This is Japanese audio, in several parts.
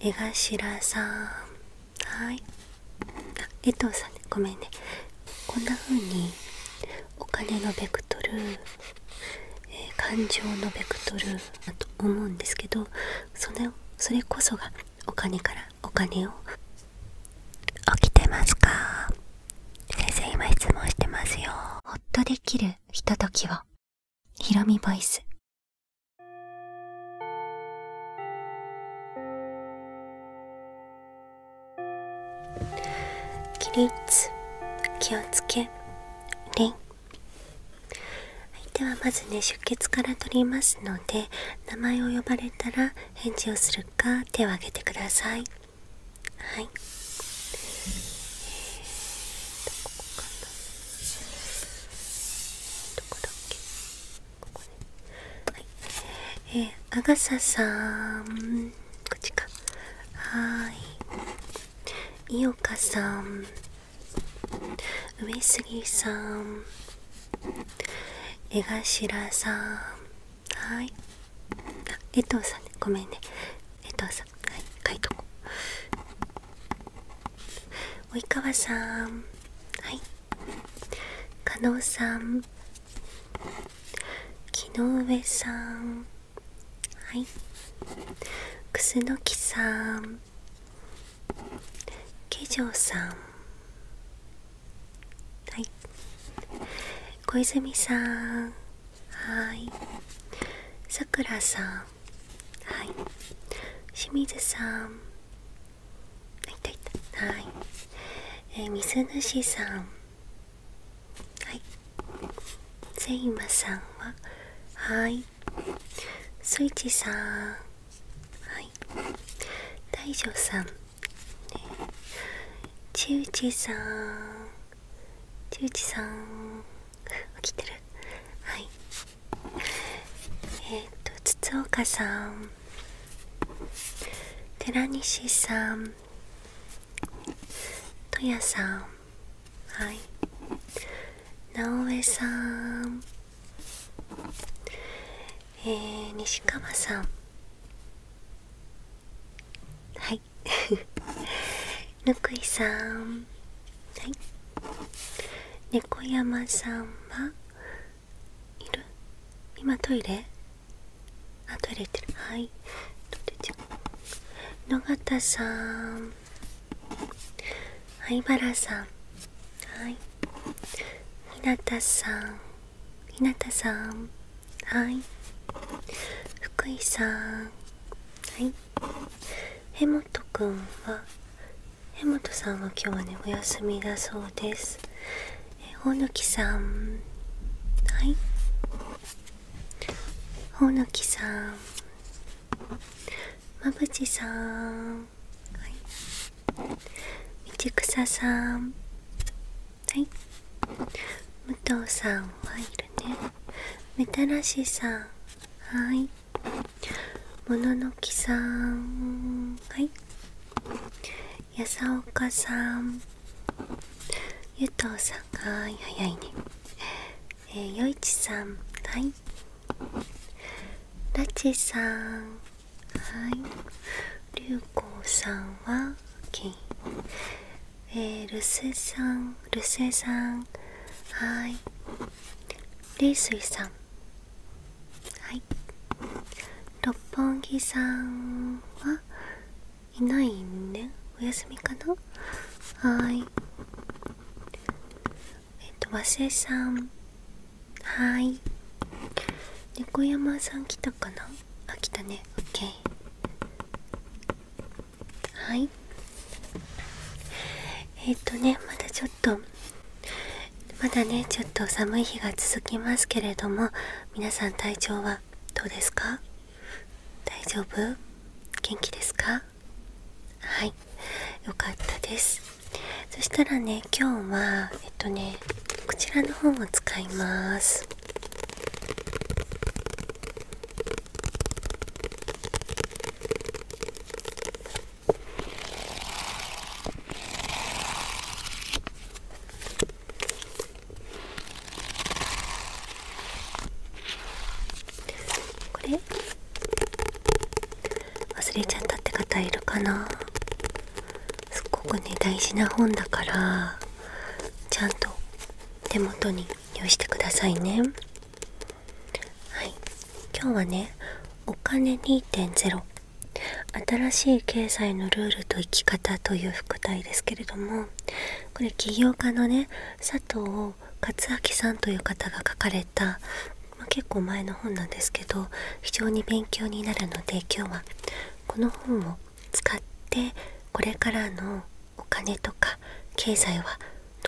江頭さんはいあ江藤さんねごめんねこんな風にお金のベクトル、え感情のベクトルだと思うんですけどそれこそがお金からお金を起きてますか先生今質問してますよほっとできるひとときをヒロミボイス起立気をつけりんはではまずね出血から取りますので名前を呼ばれたら返事をするか手を挙げてくださいはいえー、こかなどこだっけここねはいえー、アガサさんこっちかはい井岡さん上杉さん江頭さんはいあ江藤さんねごめんね江藤さんはい書いとこ及川さんはい加納さん木の上さんはい楠木さんケジさんはい小泉さんはいさくらさんはい清水さんあいたいたはいえー、水主さんはいセイマさんははいスイッチさんはい大丈さん、ね、ちうちさんちうちさん起きてるはいえっ、ー、と筒岡さん寺西さんとやさんはい直江さんえー、西川さんはい ぬくいさんはい猫山さんはいる今トイレあトイレ行ってるはいどうちゃう野方さん灰原さんはい日向さん日向さんはい福井さんはい柄本くんは江本さんは今日はねお休みだそうですえほのきさんはいほのきさんまぶさんはい道草さんはい武藤さんはいるねみたらしさんはいもののきさんはいやさおかさんゆとうさんがい早いねえー、よいちさんはいらちさんはいりゅうこうさんはき、o えるせさんるせさんはいりいすいさんはい六本木さんはいないね。でお休みかなはいえっと和瀬さんはい猫山さん来たかなあ来たねオッケーはいえっ、とねまだちょっと。とまだねちょっと寒い日が続きますけれども皆さん体調はどうですか大丈夫元気ですかはいよかったですそしたらね今日はえっとねこちらの方を使いますこれ忘れちゃったって方いるかなすっごくね大事な本だからちゃんと手元に用意してくださいねはい今日はね「お金2.0」新しい経済のルールと生き方という副題ですけれどもこれ起業家のね佐藤勝明さんという方が書かれた、ま結構前の本なんですけど非常に勉強になるので今日はこの本を使ってこれからのお金とか経済は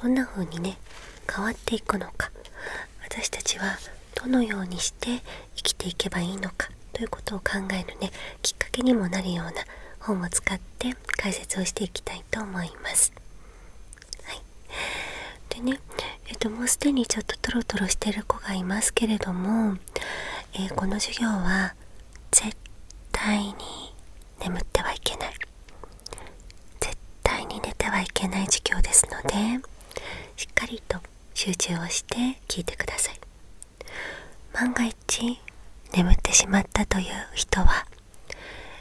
どんな風にね変わっていくのか私たちはどのようにして生きていけばいいのかということを考えるねきっかけにもなるような本を使って解説をしていきたいと思います。でね、えっと、もうすでにちょっとトロトロしてる子がいますけれども、えこの授業は絶対に眠ってはいけない絶対に寝てはいけない授業ですのでしっかりと集中をして聞いてください万が一眠ってしまったという人は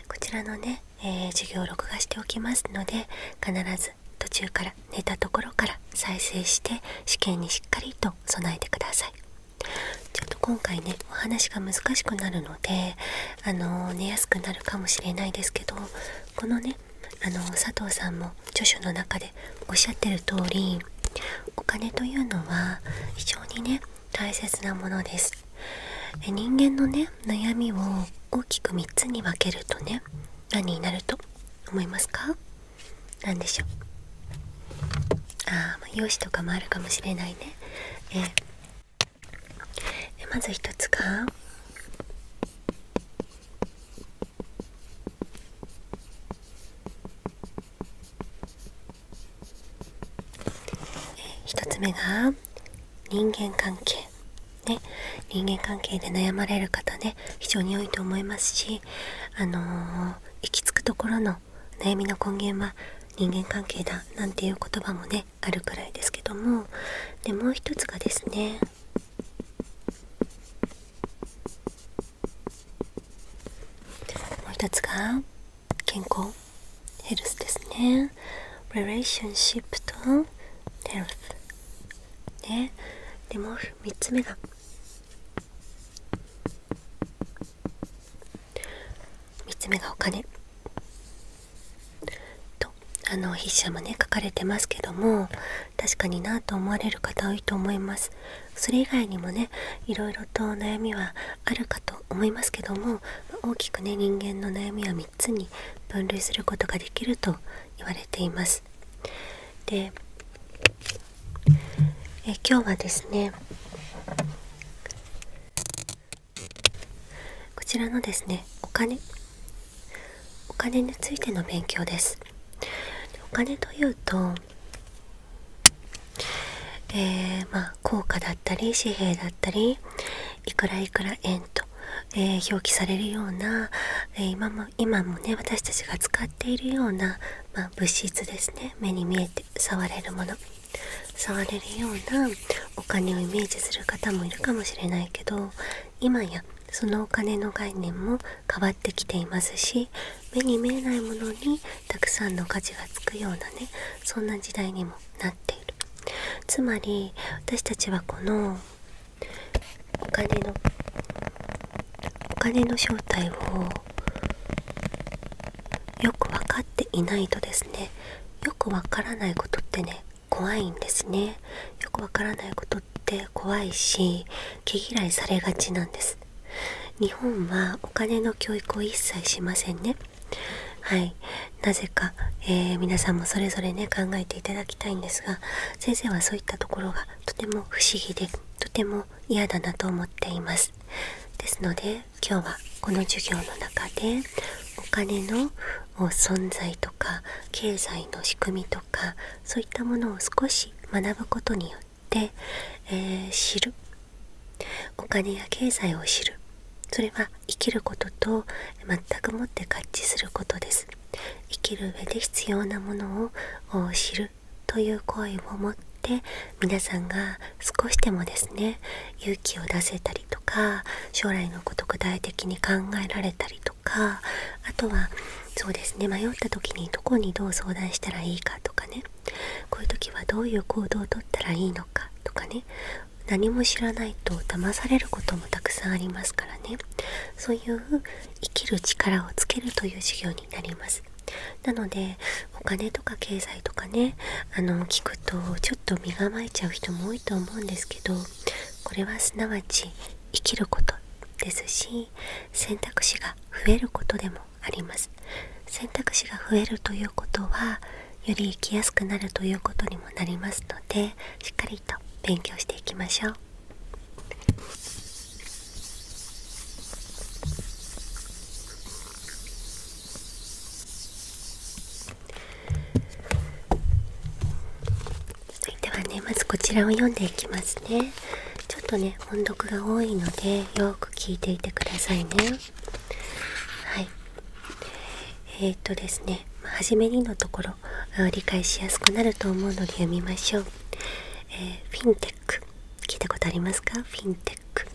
こちらのね、え授業を録画しておきますので必ず途中から寝たところから再生して試験にしっかりと備えてくださいちょっと今回ねお話が難しくなるのであの寝やすくなるかもしれないですけどこのねあの佐藤さんも著書の中でおっしゃってる通りお金というのは非常にね大切なものですで人間のね悩みを大きく3つに分けるとね何になると思いますか何でしょうああ容姿とかもあるかもしれないねでまず一つが一つ目が人間関係ね人間関係で悩まれる方ね非常に多いと思いますしあの行き着くところの悩みの根源は人間関係だなんていう言葉もねあるくらいですけどもでもう一つがですねもう一つが健康ヘルスですね r レーションシップとヘルス。l ねでもう3つ目が3つ目がお金とあの筆者もね書かれてますけども確かになと思われる方多いと思いますそれ以外にもねいろいろと悩みはあるかと思いますけども大きくね人間の悩みは3つに分類することができると言われていますでえ今日はですねこちらのですねお金お金についての勉強ですお金というとえまあ硬貨だったり紙幣だったりいくらいくら円と、え表記されるような、え今も今もね私たちが使っているような、ま物質ですね目に見えて触れるもの触れるようなお金をイメージする方もいるかもしれないけど今やそのお金の概念も変わってきていますし目に見えないものにたくさんの価値がつくようなねそんな時代にもなっているつまり私たちはこのお金のお金の正体をよく分かっていないとですねよくわからないことってね怖いんですねよくわからないことって怖いし毛嫌いされがちなんです日本はお金の教育を一切しませんねはいなぜか、え皆さんもそれぞれね考えていただきたいんですが先生はそういったところがとても不思議でとても嫌だなと思っていますですので今日はこの授業の中でお金の存在と経済の仕組みとかそういったものを少し学ぶことによって、え知るお金や経済を知るそれは生きることと全くもって合致することです生きる上で必要なものを知るという行為を持って皆さんが少しでもですね勇気を出せたとか将来のこと具体的に考えられたりとかあとはそうですね迷った時にどこにどう相談したらいいかとかねこういう時はどういう行動をとったらいいのかとかね何も知らないと騙されることもたくさんありますからねそういう生きる力をつけるという授業になりますなのでお金とか経済とかねあの聞くとちょっと身構えちゃう人も多いと思うんですけどこれはすなわち生きることですし選択肢が増えることでもあります選択肢が増えるということはより生きやすくなるということにもなりますのでしっかりと勉強していきましょう続いてはねまずこちらを読んでいきますねちょっとね音読が多いのでよく聞いていてくださいねはいえー、っとですね初めにのところ理解しやすくなると思うので読みましょう、えフィンテック聞いたことありますかフィンテック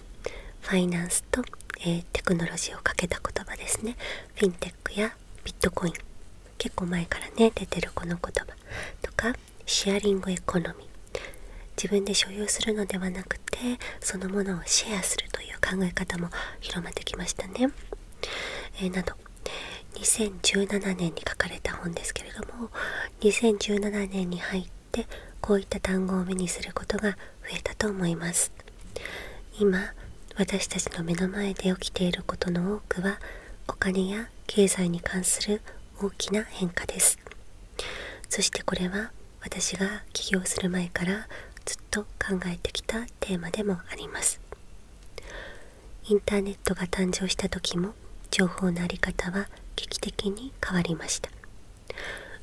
ファイナンスと、えテクノロジーをかけた言葉ですねテやビットコイン結構前からね出てるこの言葉とかシェアリングエコノミー自分で所有するのではなくてそのものをシェアするという考え方も広まってきましたね、など2017年に書かれた本ですけれども2017年に入ってこういった単語を目にすることが増えたと思います今私たちの目の前で起きていることの多くはお金や経済に関する大きな変化ですそしてこれは私が起業する前からずっと考えてきたテーマでもありますインターネットが誕生した時も情報の在り方は劇的に変わりました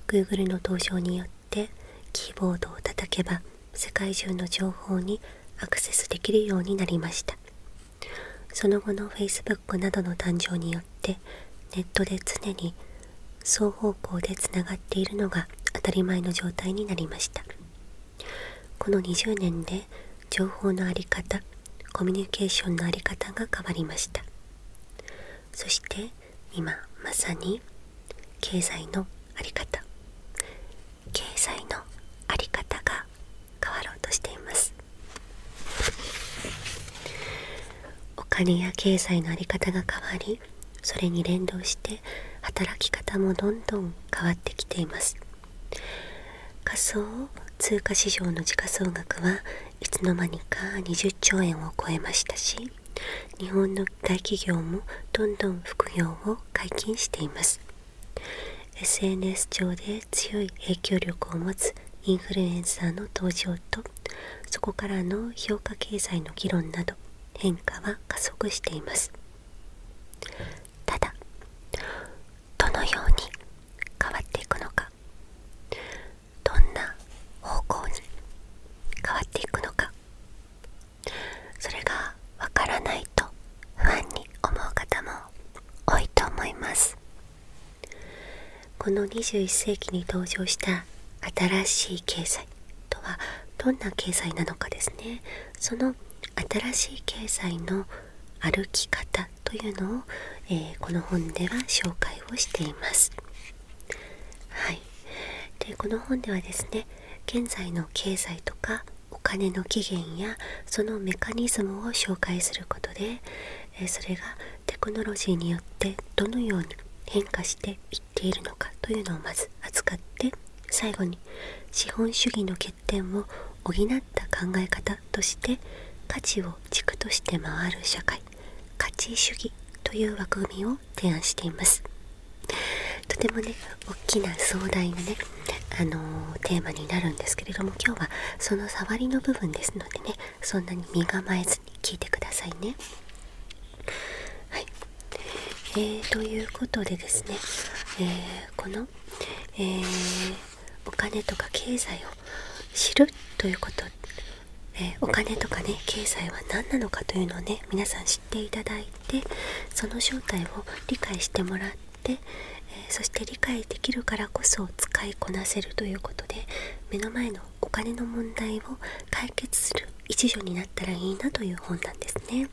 Google の登場によってキーボードを叩けば世界中の情報にアクセスできるようになりましたその後の Facebook などの誕生によってネットで常に双方向でつながっているのが当たり前の状態になりましたこの20年で情報の在り方コミュニケーションの在り方が変わりましたそして今まさに経済のあり方経済のあり方が変わろうとしていますお金や経済のあり方が変わりそれに連動して働き方もどんどん変わってきています仮想通貨市場の時価総額はいつの間にか20兆円を超えましたし日本の大企業もどんどん副業を解禁しています SNS 上で強い影響力を持つインフルエンサーの登場とそこからの評価経済の議論など変化は加速していますただどのように変わっていくのかどんな方向に変わっていくのかそれがわからないと不安に思う方も多いと思いますこの21世紀に登場した新しい経済とはどんな経済なのかですねその新しい経済の歩き方というのを、えこの本では紹介をしていますはいでこの本ではですね現在の経済とかお金の起源やそのメカニズムを紹介することでそれがテクノロジーによってどのように変化していっているのかというのをまず扱って最後に資本主義の欠点を補った考え方として価値を軸として回る社会価値主義という枠組みを提案していますとてもね大きな壮大なねあのテーマになるんですけれども今日はその触りの部分ですのでねそんなに身構えずに聞いてくださいねはい、えー、ということでですね、えこの、えお金とか経済を知るということ、えお金とかね経済は何なのかというのをね皆さん知っていたっその正体を理解してもらって、えそして理解できるからこそ使いこなせるということで目の前のお金の問題を解決する一助になったらいいなという本なんですね。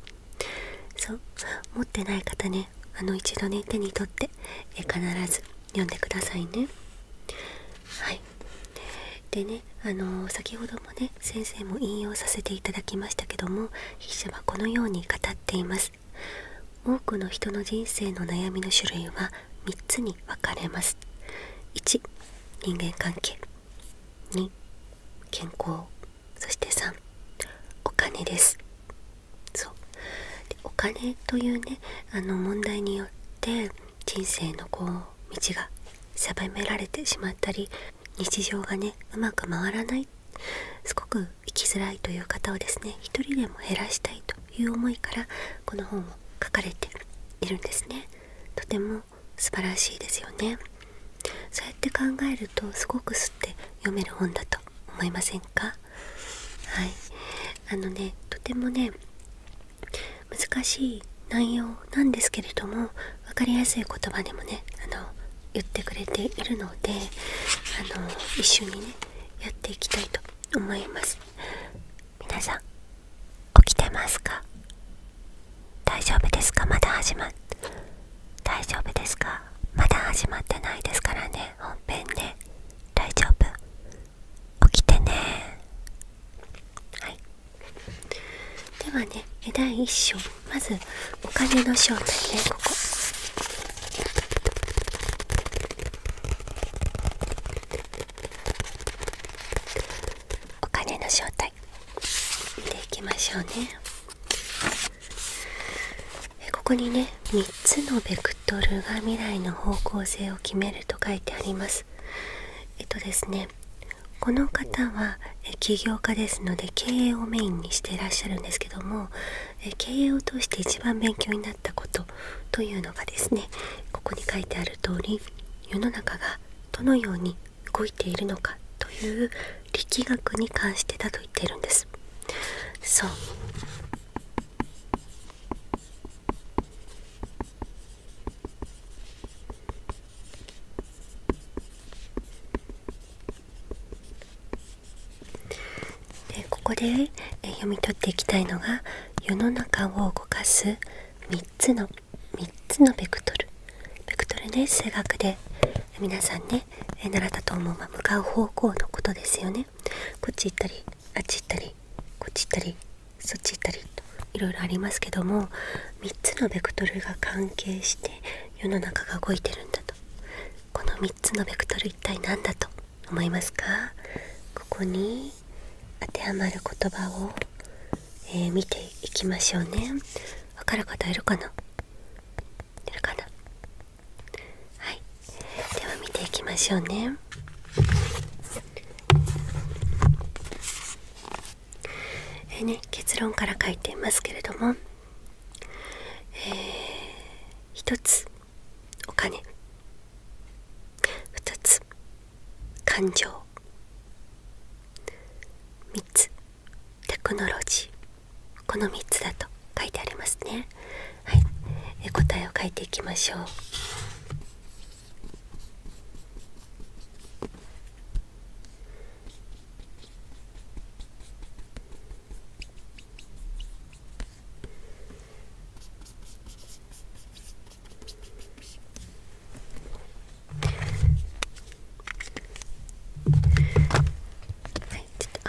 そう持ってない方ねあの一度ね手に取って、え必ず読んでくださいね。はいでねあの先ほどね先生も引用させていただきましたけども筆者はこのように語っています多くの人の人生の悩みの種類は3つに分かれます1人間関係2健康そして3お金ですそうでお金というねあの問題によって人生のこう道が狭められてしまったり日常がねうまく回らないすごく生きづらいという方をですね一人でも減らしたいという思いからこの本を書かれているんですねとても素晴らしいですよねそうやって考えるとすごくすって読める本だと思いませんかはいあのねとてもね難しい内容のなんですけれども分かりやすい言葉でもねあの言ってくれているのであの一緒にねやっていきたいと思います皆さん起きてますか大丈夫ですかまだ始まっ大丈夫ですかまだ始まってないですからね本編で、大丈夫起きてねではね第1章まずお金の正体ねここお金の正体見ていきましょうねここにね3つのベクトルが未来の方向性を決めると書いてありますえっとですねこの方は起業家ですので経営をメインにしていらっしゃるんですけども経営を通して一番勉強になったことというのがですねここに書いてある通り世の中がどのように動いているのかという力学に関してだと言っているんですそうでここで読み取っていきたいのが世の中を動かす3つの3つのベクトルベクトルね数学で皆さんね習ったと思う、まあ、向かう方向のことですよねこっち行ったりあっち行ったりこっち行ったりそっち行ったりといろいろありますけども3つのベクトルが関係して世の中が動いてるんだとこの3つのベクトル一体何だと思いますかここに当てはまる言葉を、え見ていきましょうね分かる方いるかないるかなはいでは見ていきましょうねえね、結論から書いていますけれども、えー、つお金2つ感情3つテクノロジーこの3つだと書いてありますねはいえ答えを書いていきましょうはい、ちょっと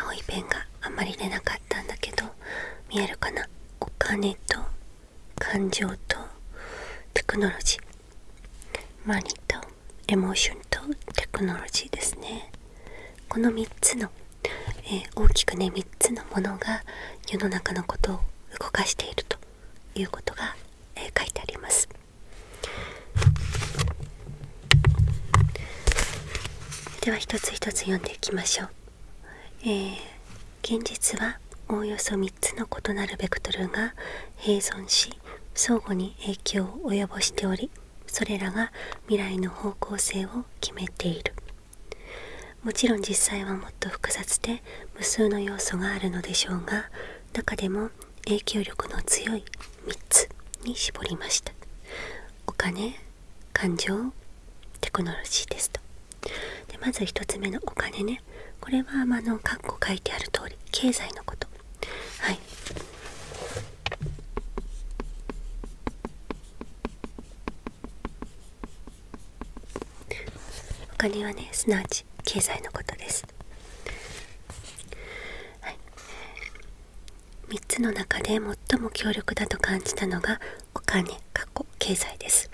青いペンがあんまり出なかったんだけど見えるかなお金と感情とテクノロジーマニとエモーションとテクノロジーですねこの3つの、えー、大きくね3つのものが世の中のことを動かしているということが、えー、書いてありますでは一つ一つ読んでいきましょう、えー、現実はおおよそ3つの異なるベクトルが併存し相互に影響を及ぼしておりそれらが未来の方向性を決めているもちろん実際はもっと複雑で無数の要素があるのでしょうが中でも影響力の強い3つに絞りましたお金感情テクノロジーですとでまず1つ目のお金ねこれはあの括弧書いてある通り経済のことはいはお金はねすなわち経済のことです、はつの中で最も強力だと感じたのがお金過去経済です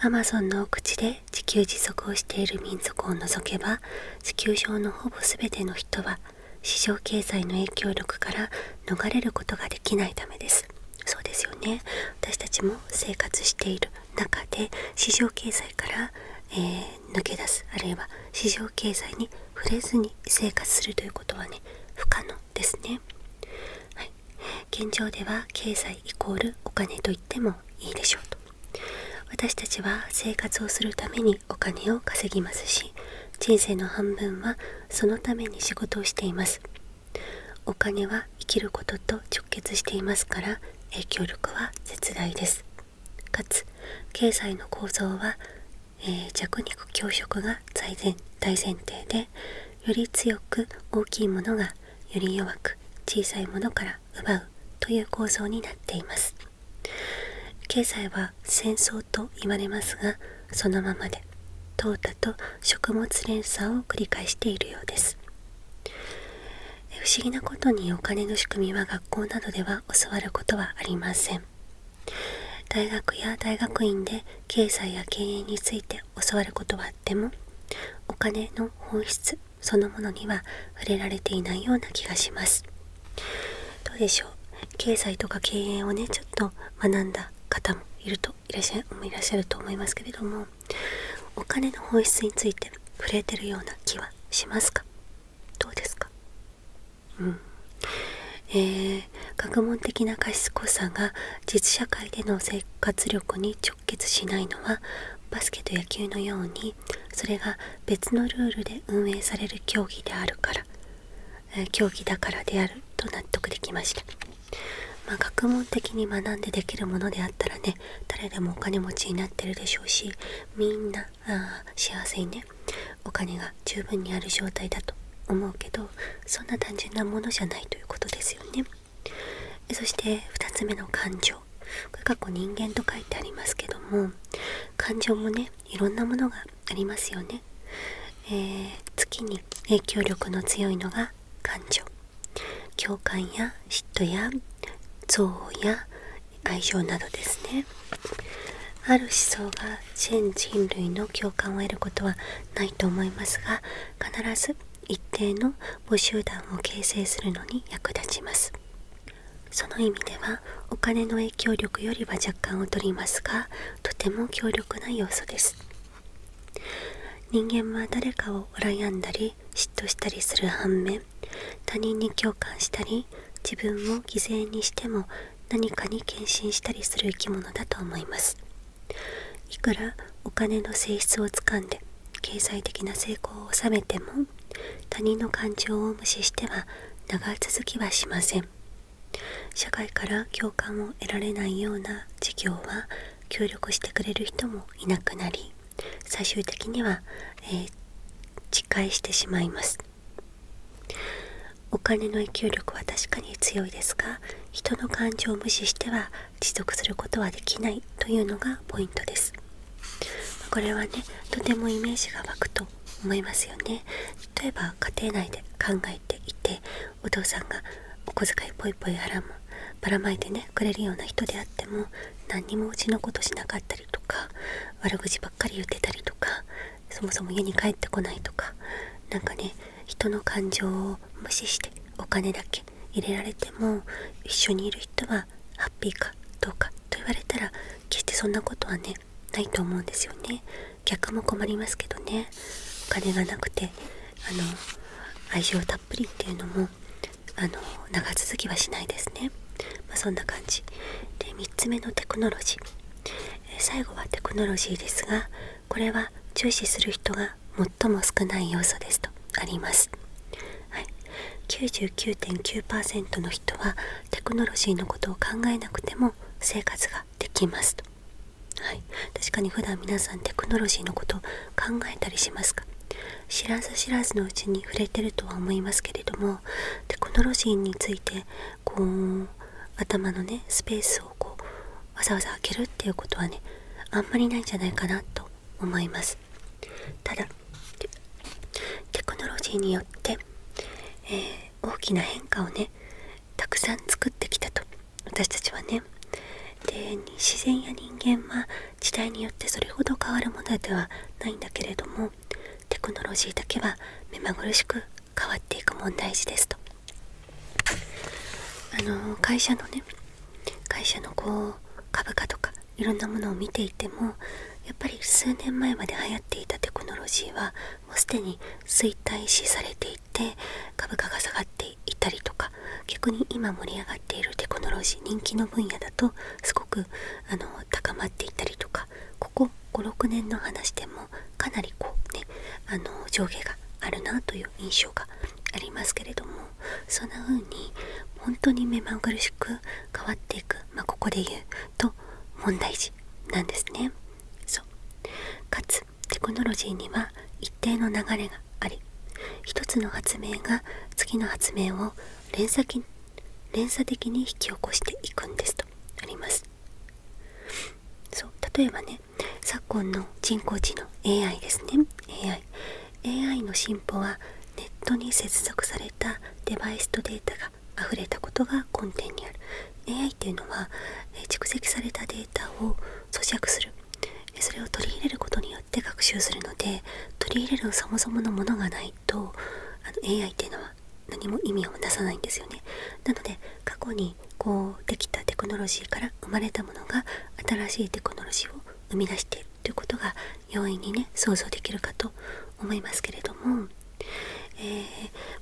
アマゾンのお口で地球持続をしている民族を除けば地球上のほぼ全ての人は市場経済の影響力から逃れることができないためですそうですよね私たちも生活している中で市場経済から、え抜け出すあるいは市場経済に触れずに生活するということはね不可能ですね、はい、現状では経済イコールお金と言ってもいいでしょうと私たちは生活をするためにお金を稼ぎますし人生の半分はそのために仕事をしていますお金は生きることと直結していますから影響力は絶大ですかつ経済の構造は、え弱肉強食が大前大前提でより強く大きいものがより弱く小さいものから奪うという構造になっています経済は戦争と言われますがそのままで淘汰と食物連鎖を繰り返しているようです不思議なことにお金の仕組みは学校などでは教わることはありません大学や大学院で経済や経営について教わることはあってもお金の本質そのものには触れられていないような気がしますどうでしょう経済とか経営をねちょっと学んだ方もいるといらっしゃるいらっしゃると思いますけれどもお金の本質について触れてるような気はしますかどうですかうん学問的な過失。賢さが実社会での生活力に直結しないのはバスケと野球のようにそれが別のルールで運営される競技であるから、え競技だからであると納得できました、まあ、学問的に学んでできるものであったらね誰でもお金持ちになってるでしょうしみんなあ幸せにねお金が十分にある状態だと思うけどそんな単純なものじゃないということですよねそして2つ目の感情これ過去人間と書いてありますけども感情もねいろんなものがありますよね、え月に影響力の強いのが感情共感や嫉妬や憎悪や愛情などですねある思想が全人類の共感を得ることはないと思いますが必ず一定の母集団を形成するのに役立ちますその意味ではお金の影響力よりは若干劣りますがとても強力な要素です人間は誰かを羨んだり嫉妬したりする反面他人に共感したり自分を犠牲にしても何かに献身したりする生き物だと思いますいくらお金の性質をつかんで経済的な成功を収めても他人の感情を無視しては長続きはしません社会から共感を得られないような事業は協力してくれる人もいなくなり最終的には、えー、自してしまいますお金の影響力は確かに強いですが人の感情を無視しては持続することはできないというのがポイントですこれはねとてもイメージが湧くと思いますよね例えば家庭内で考えていてお父さんがお小遣いぽいぽい払うもばらまいてねくれるような人であっても何にもうちのことしなかったりとか悪口ばっかり言ってたりとかそもそも家に帰ってこないとか何かね人の感情を無視してお金だけ入れられても一緒にいる人はハッピーかどうかと言われたら決してそんなことはねないと思うんですよね逆も困りますけどねお金がなくてあの愛情たっぷりっていうのもあの長続きはしないですね、まそんな感じで3つ目のテクノロジー、ー、最後はテクノロジーですがこれは重視する人が最も少ない要素ですとありますはい、99.9%の人はテクノロジーのことを考えなくても生活ができますと、確かに普段皆さんテクノロジーのこと考えたりしますか知らず知らずのうちに触れてるとは思いますけれどもテクノロジーについてこう頭のねスペースをこうわざわざ開けるっていうことはねあんまりないんじゃないかなと思いますただテクノロジーによって、え大きな変化をねたくさん作ってきたと私たちはねで自然や人間は時代によってそれほど変わるものではないんだけれどもテクノロジーだけは目まぐるしく変わっていく問題児ですとあの会社のね会社のこう株価とかいろんなものを見ていてもやっぱり数年前まで流行っていたテクノロジーはもうすでに衰退しされていて株価が下がっていたりとか逆に今盛り上がっているテクノロジー人気の分野だとすごくあの高まっていたりとかここ56年の話でもかなりこうねあの上下があるなという印象がありますけれどもそんな風に本当に目まぐるしく変わってまここで言うと問題児なんですねそうかつテクノロジーには一定の流れがあり一つの発明が次の発明を連鎖連鎖的に引き起こしていくんですとありますそう例えばね昨今の人工知能 AI ですね AI, AI の進歩はネットに接続されたデバイスとデータが溢れたことが根底にある AI っていうのは蓄積されたデータを咀嚼するそれを取り入れることによって学習するので取り入れるそもそものものがないとあの AI っていうのは何も意味をなさないんですよねなので過去にこうできたテクノロジーから生まれたものが新しいテクノロジーを生み出しているということが容易にね想像できるかと思いますけれども、え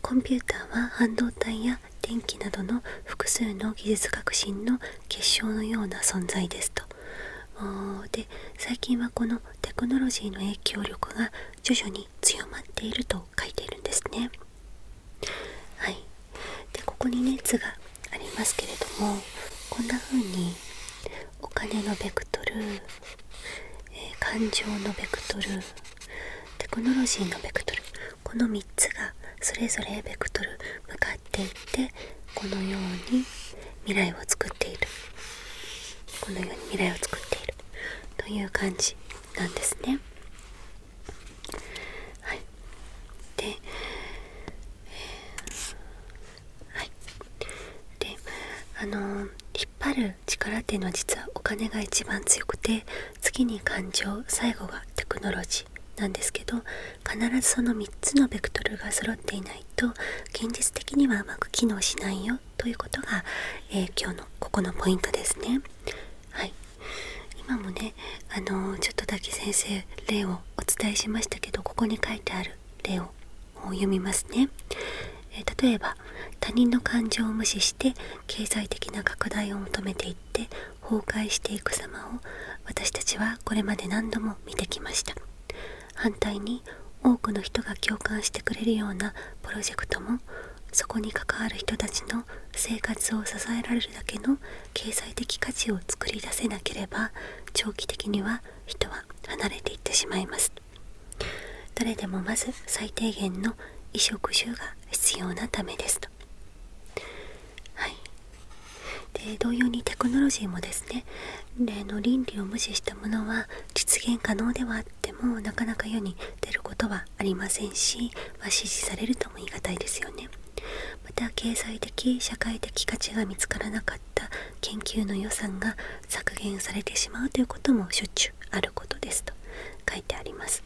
コンピューターは半導体や電気などの複数の技術革新の結晶のような存在ですと。で最近はこのテクノロジーの影響力が徐々に強まっていると書いているんですね。はい、でここにね図がありますけれどもこんな風にお金のベクトル、え感情のベクトルテクノロジーのベクトルこの3つがそれぞれベクトル向かっていってこのように未来を作っているこのように未来を作っているという感じなんですね。はい、で、えはいであの引っ張る力っていうのは実はお金が一番強くて次に感情最後がテクノロジーなんですけど必ずその3つのベクトルが揃っていないと現実的にはうまく機能しないよということが、え今日のここのポイントですね。はい今もねあのちょっとだけ先生例をお伝えしましたけどここに書いてある例をを読みますね、え例えば他人の感情を無視して経済的な拡大を求めていって崩壊していく様を私たちはこれまで何度も見てきました反対に多くの人が共感してくれるようなプロジェクトもそこに関わる人たちの生活を支えられるだけの経済的価値を作り出せなければ長期的には人は離れていってしまいます誰でもまず最低限の衣食住が必要なためですとはいで同様にテクノロジーもですね例の倫理を無視したものは実現可能ではあってもなかなか世に出ることはありませんし、ま支持されるとも言い難いですよねまた経済的社会的価値が見つからなかっった研究の予算が削減されてしまうということもしょっちゅうあることですと書いてあります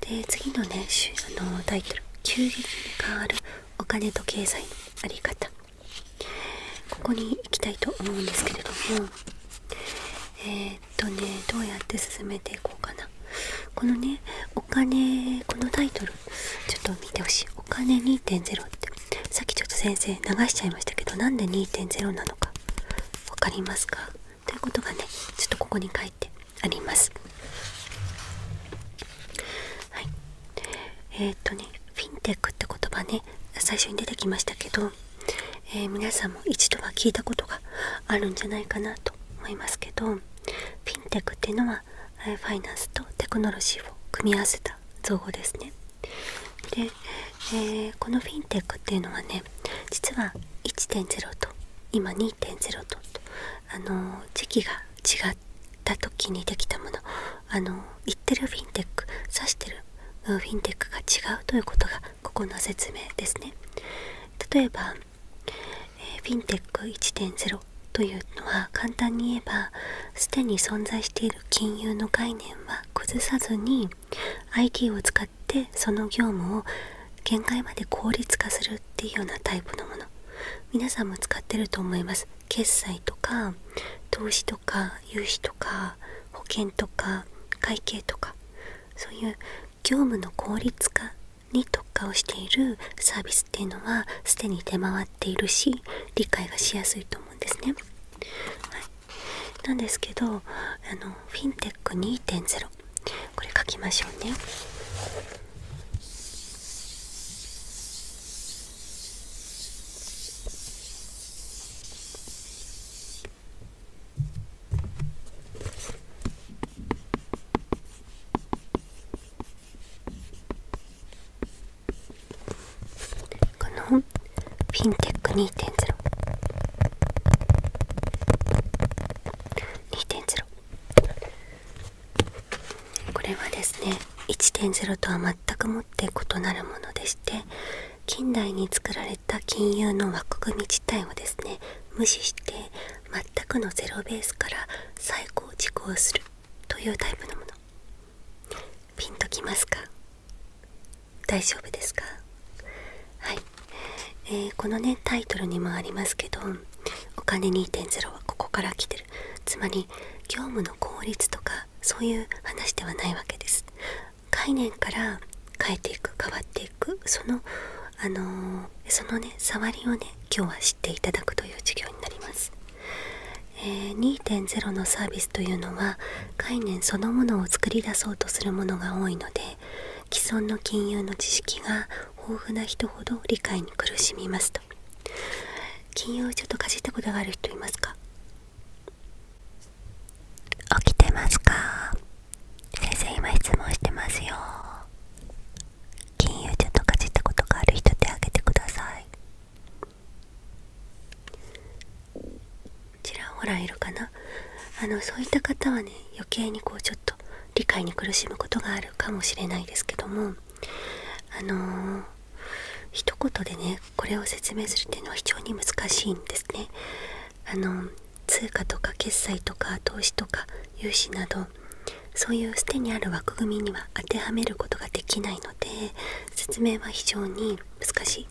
で次のねあのタイトル「急激変わるお金と経済のあり方」ここに行きたいと思うんですけれどもえっとねどうやって進めていこうかなこのねお金このタイトルちょっと見てほしい「お金2.0」ってさっきちょっと先生流しちゃいましたけどなんで2.0なのか分かりますかということがねちょっとここに書いてありますえっとねフィンテックって言葉ね最初に出てきましたけど、え皆さんも一度は聞いたことがあるんじゃないかなと思いますけどフィンテックっていうのはファイナンスとテクノロジーを組み合わせた造語ですねで、えこのフィンテックっていうのはね実は1.0と今2.0とあの時期が違った時にできたものあの言ってるフィンテック指してるフィンテックが違うということがここの説明ですね例えば、えフィンテック1.0というのは簡単に言えばすでに存在している金融の概念は崩さずに IT を使ってその業務を限界まで効率化するっていうようなタイプのもの皆さんも使ってると思います決済とか投資とか融資とか保険とか会計とかそういう業務の効率化に特化をしているサービスっていうのはすに出回っているし理解がしやすい思うんですね。はい、なんですけどあのフィンテック2.0これ書きましょうね。はいこのフィンテック2 0これはですね1.0とは全くもって異なるものでして近代に作られた金融の枠組み自体をですね無視して全くのゼロベースから再構築をするというタイプのものピンときますか大丈夫ですかはい、えこのねタイトルにもありますけど「お金2.0」はここから来てるつまり業務の効率とかそういう話ではないわけです概念から変えていく変わっていくそのあのそのね触りをね今日は知っていただくという授業になりますえ2.0のサービスというのは概念そのものを作り出そうとするものが多いので既存の金融の知識が豊富な人ほど理解に苦しみますと金融ちょっとかじったことがある人いますか起きてますか先生今質問してますよ金融ちょっとかじったことがある人手挙げてくださいちらほらいるかなあのそういった方はね余計にこうちょっと理解に苦しむことがあるかもしれないですけどもあのー、一言でねこれを説明するっていうのは非常に難しいんですね。あの通貨とか決済とか投資とか融資などそういうすでにある枠組みには当てはめることができないので説明は非常に難しい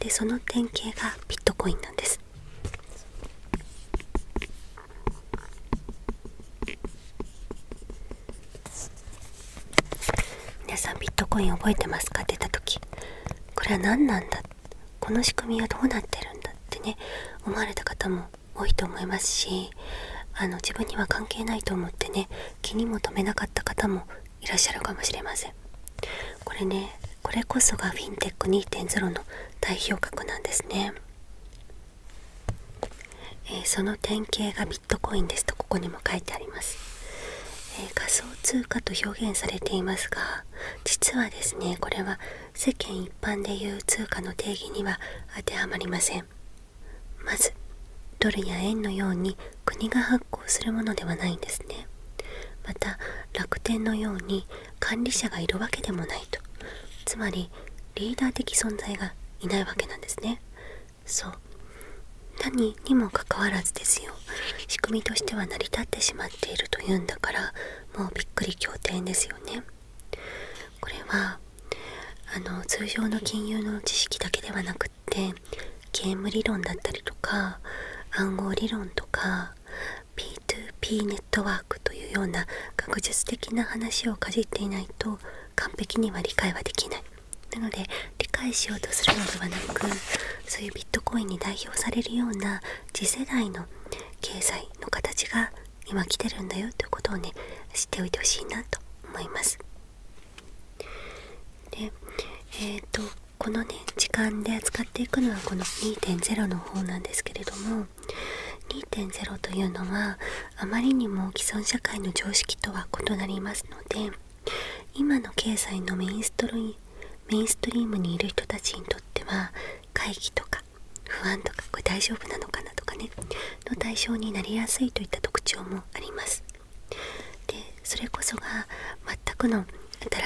でその典型がビットコインなんです皆さんビットコイン覚えてますか出た時これは何なんだこの仕組みはどうなってるんだってね思われた方も多いと思いますしあの自分には関係ないと思ってね気にも留めなかった方もいらっしゃるかもしれませんこれねこれこそがフィンテック2.0の代表格なんですね、えその典型がビットコインですとここにも書いてあります、え仮想通貨と表現されていますが実はですねこれは世間一般でいう通貨の定義には当てはまりませんまずドルや円のように国が発行するものではないんですねまた楽天のように管理者がいるわけでもないとつまりリーダー的存在がいないわけなんですねそう何にもかかわらずですよ仕組みとしては成り立ってしまっているというんだからもうびっくり仰天ですよねこれはあの通常の金融の知識だけではなく学ゲーム理論だったりとか暗号理論とか P2P ネットワークというような学術的な話をかじっていないと完璧には理解はできないなので理解しようとするのではなくそういうビットコインに代表されるような次世代の経済の形が今来てるんだよということをね知っておいてほしいなと思います。でえっ、とこのね時間で扱っていくのはこの2.0の方なんですけれども2.0というのはあまりにも既存社会の常識とは異なりますので今の経済のメインストリームにいる人たちにとっては会議とか不安とかこれ大丈夫なのかなとかねの対象になりやすいといった特徴もあります。でそれこそが全くの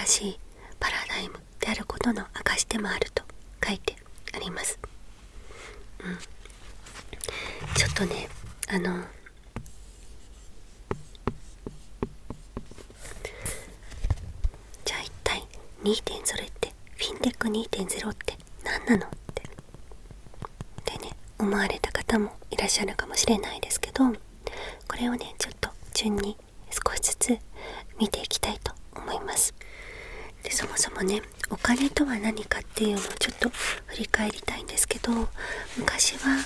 新しいパラダイムであることの証でもあると書いてあります、うん、ちょっとねあのじゃあ一体2.0ってフィンテック2.0って何なのってっね思われた方もいらっしゃるかもしれないですけどこれをねちょっと順に少しずつ見ていきたいと思いますでそもそもねお金とは何かっていうのをちょっと振り返りたいんですけど昔は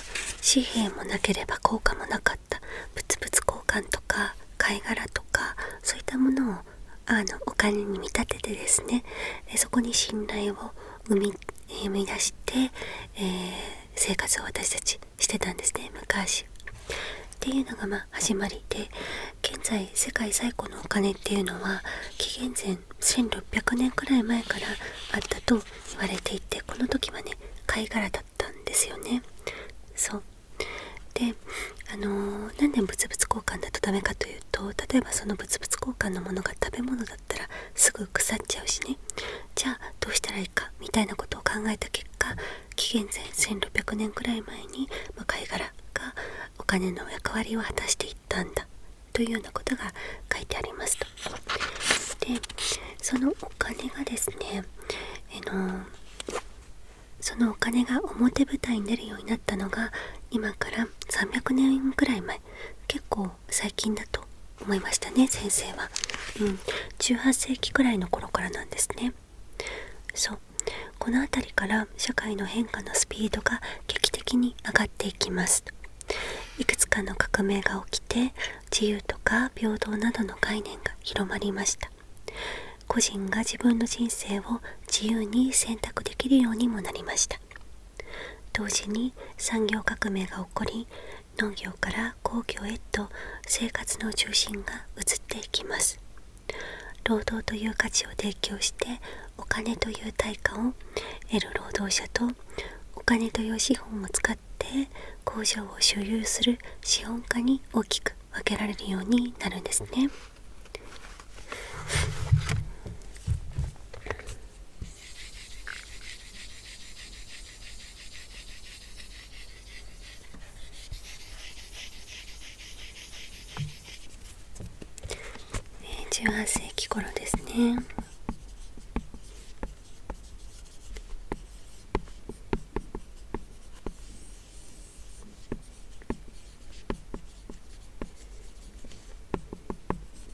紙幣もなければ効果もなかった物々交換とか貝殻とかそういったものをあのお金に見立ててですねそこに信頼を生み生み出して、え生活を私たちしてたんですね昔。っていうのがま始まりで現在世界最古のお金っていうのは紀元前1600年くらい前からあったと言われていてこの時はね貝殻だったんですよね。そうであのー、なんで物々交換だとダメかというと例えばその物々交換のものが食べ物だたらすぐ腐っちゃうしねじゃあどうしたらいいかみたいなことを考えた結果紀元前1600年くらい前に、ま貝殻がお金の役割を果たしていったんだというようなことが書いてありますと。でそのお金がですね、えのそのお金が表舞台に出るようになったのが今から300年くらい前結構最近だと思いましたね先生は、うん、18世紀くらいの頃からなんですねそうこの辺りから社会の変化のスピードが劇的に上がっていきますいくつかの革命が起きて自由とか平等などの概念が広まりました個人が自分の人生を自由に選択できるようにもなりました同時に産業革命が起こり農業から工業へと生活の中心が移っていきます労働という価値を提供してお金という対価を得る労働者とお金という資本を使って工場を所有する資本家に大きく分けられるようになるんですね十八世紀頃ですね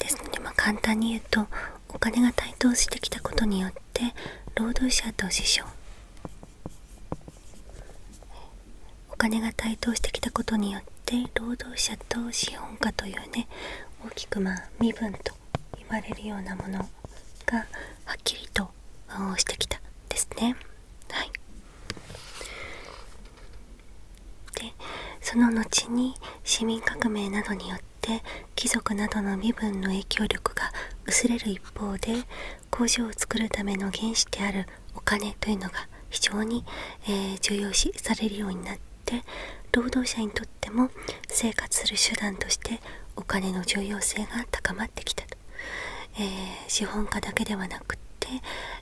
ですのでま簡単に言うとお金が台頭してきたことによって労働者と師匠お金が台頭してきたことによって労働者と資本家というね大きくま身分と言われるようなものがはっきりとしてきたですね。はいでその後に市民革命などによって貴族などの身分の影響力が薄れる一方で工場を作るための原資であるお金というのが非常に、え重要視されるようになって労働者にとっても生活する手段としてお金の重要性が高まってきたえ資本家だけではなくって、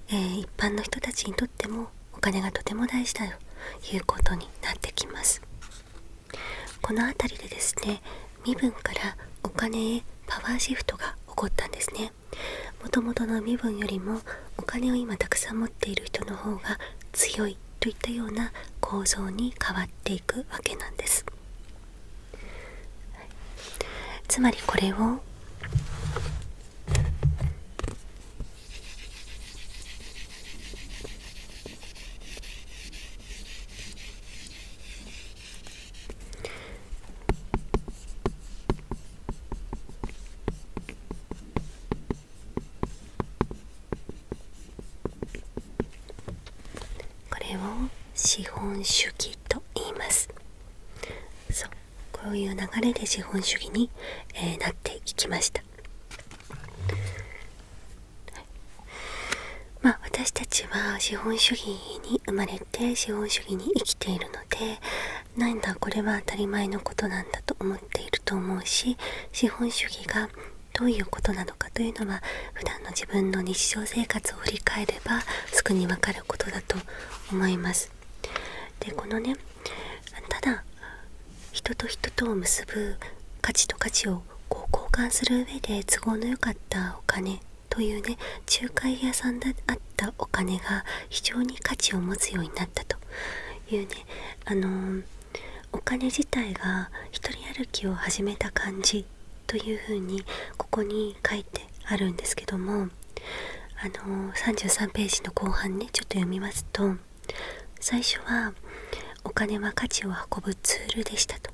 え一般の人たちにとってもお金がとても大事だということになってきますこの辺りでですね身分からお金へパワーシフトが起こったんですねもともとの身分よりもお金を今たくさん持っている人の方が強いといったような構造に変わっていくわけなんですつまりこれをこれを資本主義と言いますそうこういう流れで資本主義に、えなっていきました、ま私たちは資本主義に生まれて資本主義に生きているのでなんだこれは当たり前のことなんだと思っていると思うし資本主義がどういうことなのかというのは普段の自分の日常生活を振り返ればすぐにわかることだと思いますでこのねただ人と人とを結ぶ価値と価値をこう交換する上で都合の良かったお金というね仲介屋さんであったお金が非常に価値を持つようになったというねあのお金自体が一人歩きを始めた感じというふうにここに書いてあるんですけどもあの33ページの後半ねちょっと読みますと最初はお金は価値を運ぶツールでしたと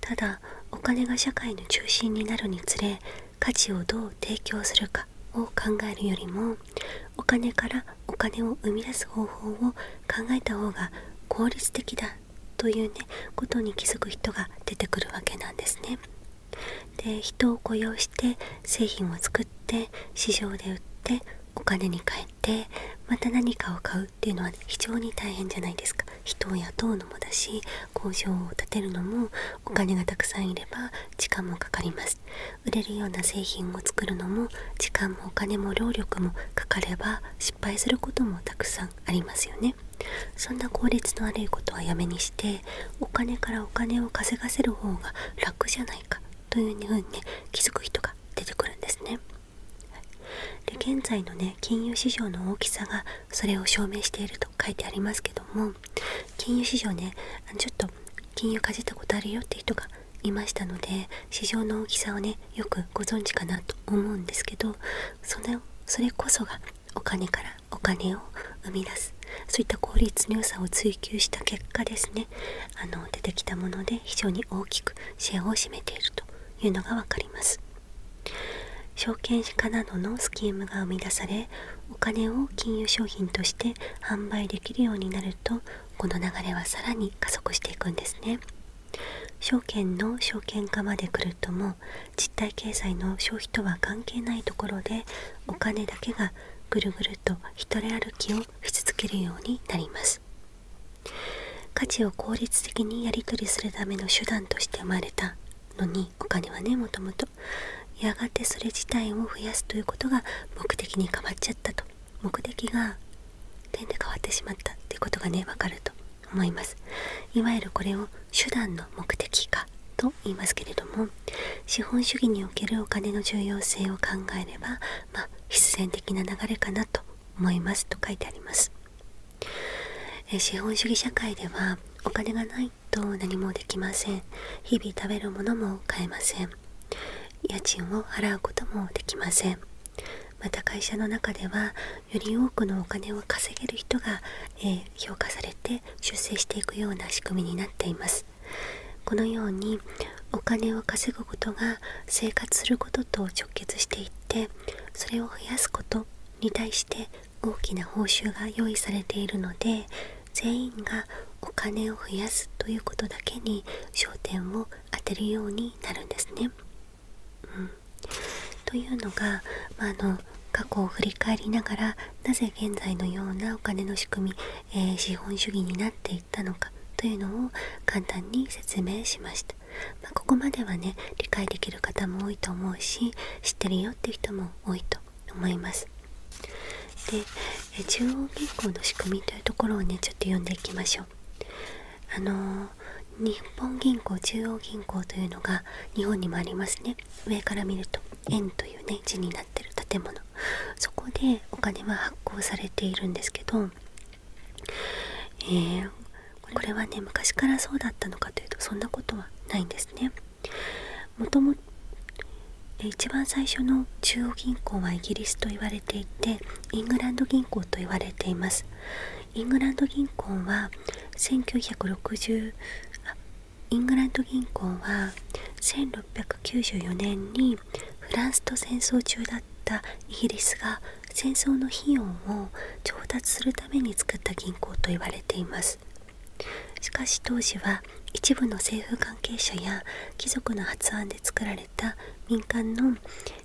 ただお金が社会の中心になるにつれ価値をどう提供するかを考えるよりもお金からお金を生み出す方法を考えた方が効率的だというねことに気づく人が出てくるわけなんですね。で人を雇用して製品を作って市場で売ってお金に換えてまた何かを買うっていうのは非常に大変じゃないですか人を雇うのもだし工場を建てるのもお金がたくさんいれば時間もかかります売れるような製品を作るのも時間もお金も労力もかかれば失敗することもたくさんありますよねそんな効率の悪いことはやめにしてお金からお金を稼がせる方が楽じゃないかというふうにね気づく人が出てくるんですね。で現在のね金融市場の大きさがそれを証明していると書いてありますけども金融市場ねちょっと金融かじったことあるよって人がいましたので市場の大きさをねよくご存知かなと思うんですけどそのそれこそがお金からお金を生み出すそういった効率の良さを追求した結果ですねあの出てきたもので非常に大きくシェアを占めているというのが分かります証券化などのスキームが生み出されお金を金融商品として販売できるようになるとこの流れはさらに加速していくんですね証券の証券化まで来るとも実体経済の消費とは関係ないところでお金だけがぐるぐると一人歩きをし続けるようになります価値を効率的にやり取りするための手段として生まれたのにお金はねもともとやがてそれ自体を増やすということが目的に変わっちゃったと目的が点で変わってしまったということがねわかると思いますいわゆるこれを手段の目的かと言いますけれども資本主義におけるお金の重要性を考えれば、ま必然的な流れかなと思いますと書いてありますえ資本主義社会ではお金がないと何もできません日々食べるものも買えません家賃を払うこともできませんまた会社の中ではより多くのお金を稼げる人が、え評価されて出世していくような仕組みになっていますこのようにお金を稼ぐことが生活することと直結していってそれを増やすことに対して大きな報酬が用意されているので全員がお金を増やすということだけに焦点を当てるようになるんですね。うん、というのが、まあ、あの過去を振り返りながらなぜ現在のようなお金の仕組み、え資本主義になっていったのかというのを簡単に説明しました、まここまではね理解できる方も多いと思うし知ってるよって人も多いと思いますで、え中央銀行の仕組みというところをねちょっと読んでいきましょうあの日本銀行中央銀行というのが日本にもありますね上から見ると円というね字になってる建物そこでお金は発行されているんですけど、えこれはね昔からそうだったのかというとそんなことはないんですね。もとも一番最初の中央銀行はイギリスと言われていてイングランド銀行と言われていますイングランド銀行は1960イングランド銀行は1694年にフランスと戦争中だったイギリスが戦争の費用を調達するために作った銀行と言われていますしかし当時は一部の政府関係者や貴族の発案で作られた民間の、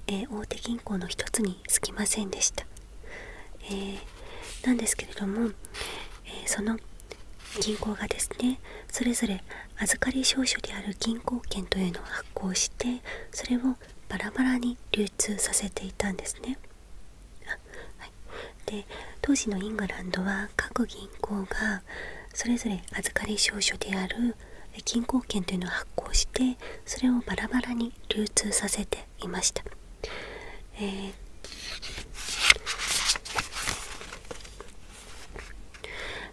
え大手銀行の一つにすぎませんでしたえなんですけれども、えその銀行がですねそれぞれ預かり証書である銀行券というのを発行してそれをバラバラに流通させていたんですね。あはい、で当時のイングランドは各銀行がそれぞれ預かり証書である銀行券というのを発行してそれをバラバラに流通させていました、え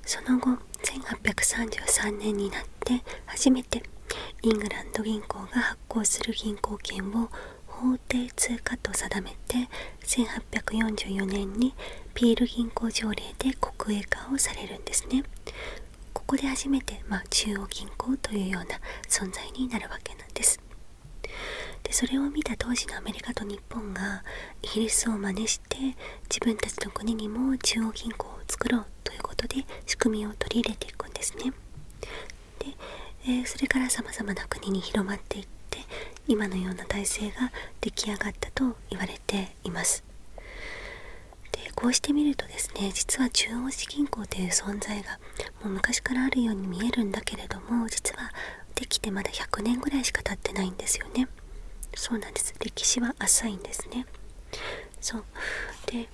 その後1833年になって初めてイングランド銀行が発行する銀行券を法定通貨と定めて1844年にピール銀行条例で国営化をされるんですねここで初めて、ま中央銀行というような存在になるわけなんですでそれを見た当時のアメリカと日本がイギリスを真似して自分たちの国にも中央銀行を作ろうということで仕組みを取り入れていくんですね。でえそれからさまざまな国に広まっていって今のような体制が出来上がったと言われています。でこうして見るとですね実は中央銀行という存在がもう昔からあるように見えるんだけれども実はできてまだ100年ぐらいしか経ってないんですよねそうなんです歴史は浅いんですねそうで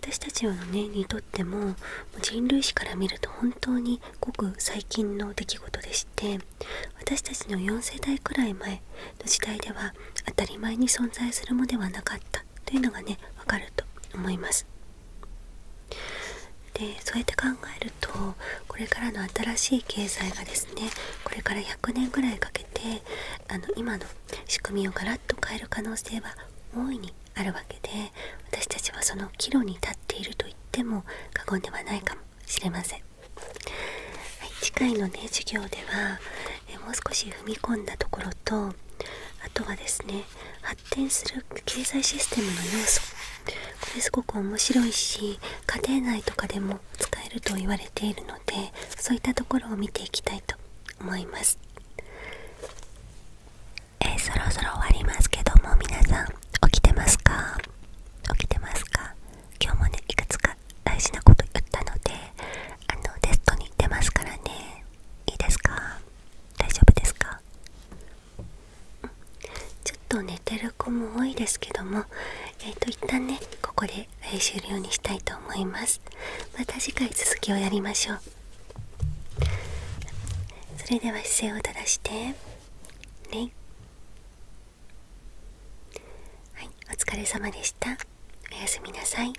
私たちはねにとっても人類史から見ると本当にごく最近の出来事でして私たちの4世代くらい前の時代では当たり前に存在するものではなかったというのがね分かると思いますでそうやって考えるとこれからの新しい経済がですねこれから100年ぐらいかけてあの今の仕組みをガラッと変える可能性は大いにあるわけで私たちはその岐路に立っていると言っても過言ではないかもしれません、はい、次回のね授業ではえもう少し踏み込んだところとあとはですね発展する経済システムの要素これすごく面白いし家庭内とかでも使えると言われているのでそういったところを見ていきたいと思いますえそろそろ終わりますけども皆さん起きてますか起きてますか今日もねいくつか大事なこと言ったのであのテストに行ってますからねいいですか大丈夫ですかちょっと寝てる子も多いですけどもえっ、と一旦ねここで終了にしたいと思いますまた次回続きをやりましょうそれでは姿勢を正してねはいお疲れ様でしたおやすみなさい